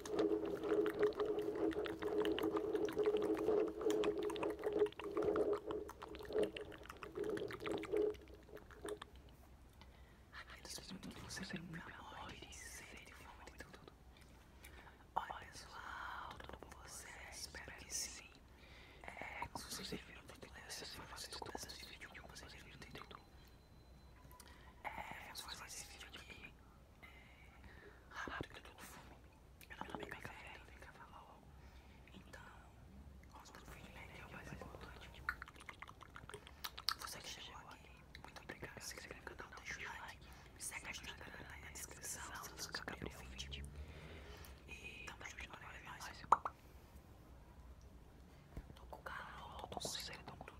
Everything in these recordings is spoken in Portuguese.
Aqueles minutos que você lembra morre de sede, fome de tudo. Olha, pessoal, tudo bom com vocês? É espero que sim. É, é como vocês viram no título dessa semana, vocês estão gostando desse vídeo, como vocês viram no título. É, vamos fazer esse vídeo aqui rápido que eu tô com fome. Eu não tomei café, café ainda, eu tava logo. Então, conta do feedback é o mais importante. Você que chegou aqui, muito obrigado. Se você no canal, deixa o like. Me segue no Instagram, tá aí na descrição. Se você ficar pro vídeo. E também ajuda a Tô com o carro, tô com sede, tô com tudo.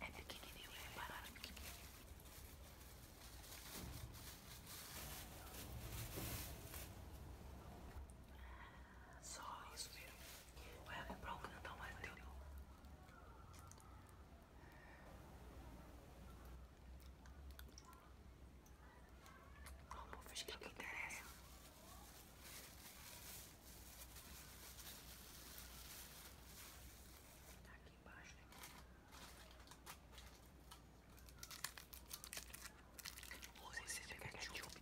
É pequenininho, é né? barato. Só isso mesmo. Vai comprar um que não tá mais teu. Vamos, fiz que que interessa. Tá aqui embaixo, né? Use esse de ketchup.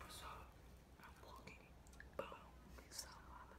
Pessoal, hambúrguer, pão, salada.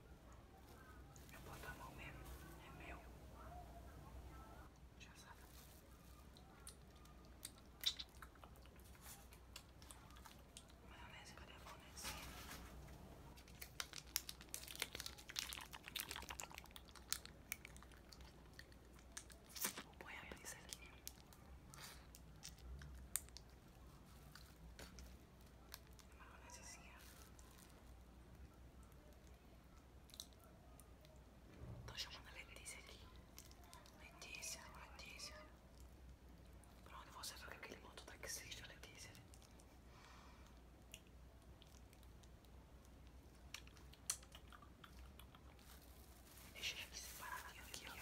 Eu boto a mão mesmo, é meu. Já sabe. Maionese, cadê a maionese? Vou pôr a maionese aqui. Maionesezinha. Tô chamando a Letícia aqui. Letícia, Letícia. Pra onde você viu que aquele motor taxista, Letícia? Deixa eu separar aqui, ó.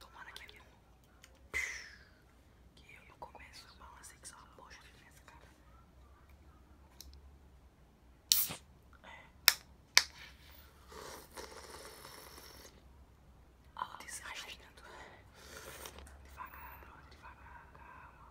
Tomara que a minha que eu começo a balancei assim que são uma de nessa cara. É. Algo desgastando. Né, devagar, brother, devagar, calma.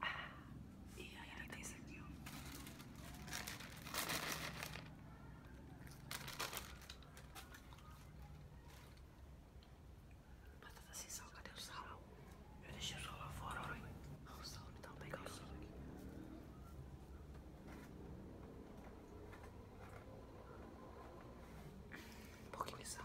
Ah, e ainda tem esse aqui, Batata sem sal, cadê o sal? Eu deixei o sal lá fora, olha. O sal, me dá o sal aqui. Porque me sal.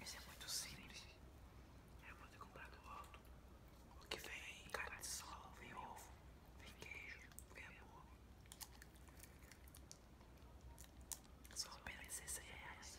Isso é muito simples. Eu vou ter comprado outro. O que vem? Carne de sol, vem ovo, vem queijo, vem ovo. Só apenas 16 reais.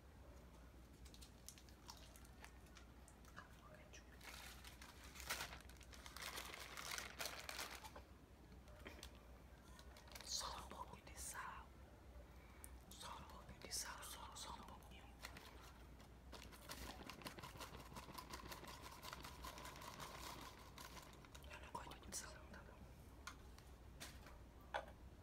Só um pouco de sal, só um pouco de sal, só, o um pouquinho. Eu não gosto muito de sal, não, tá bom?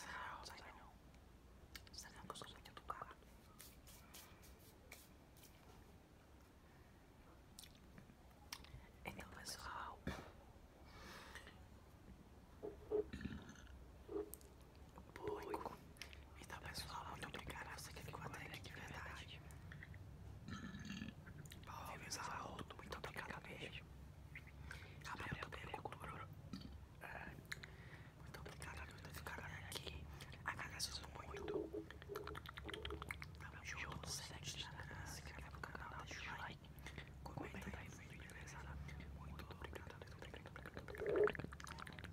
Será, é né? é será que eu sou muito educado? Então, é pessoal, público. Então, tá pessoal, muito obrigado você que ficou até aqui de verdade. Paulo Vives Arroto, muito obrigado beijo. mesmo. Gabriel também é cultura. É. Muito obrigado a todos ficarem aqui. Agradeço muito. Tamo junto, segue se inscreva no canal, deixa o like. Comenta aí o vídeo, beleza? Muito obrigado, muito obrigado.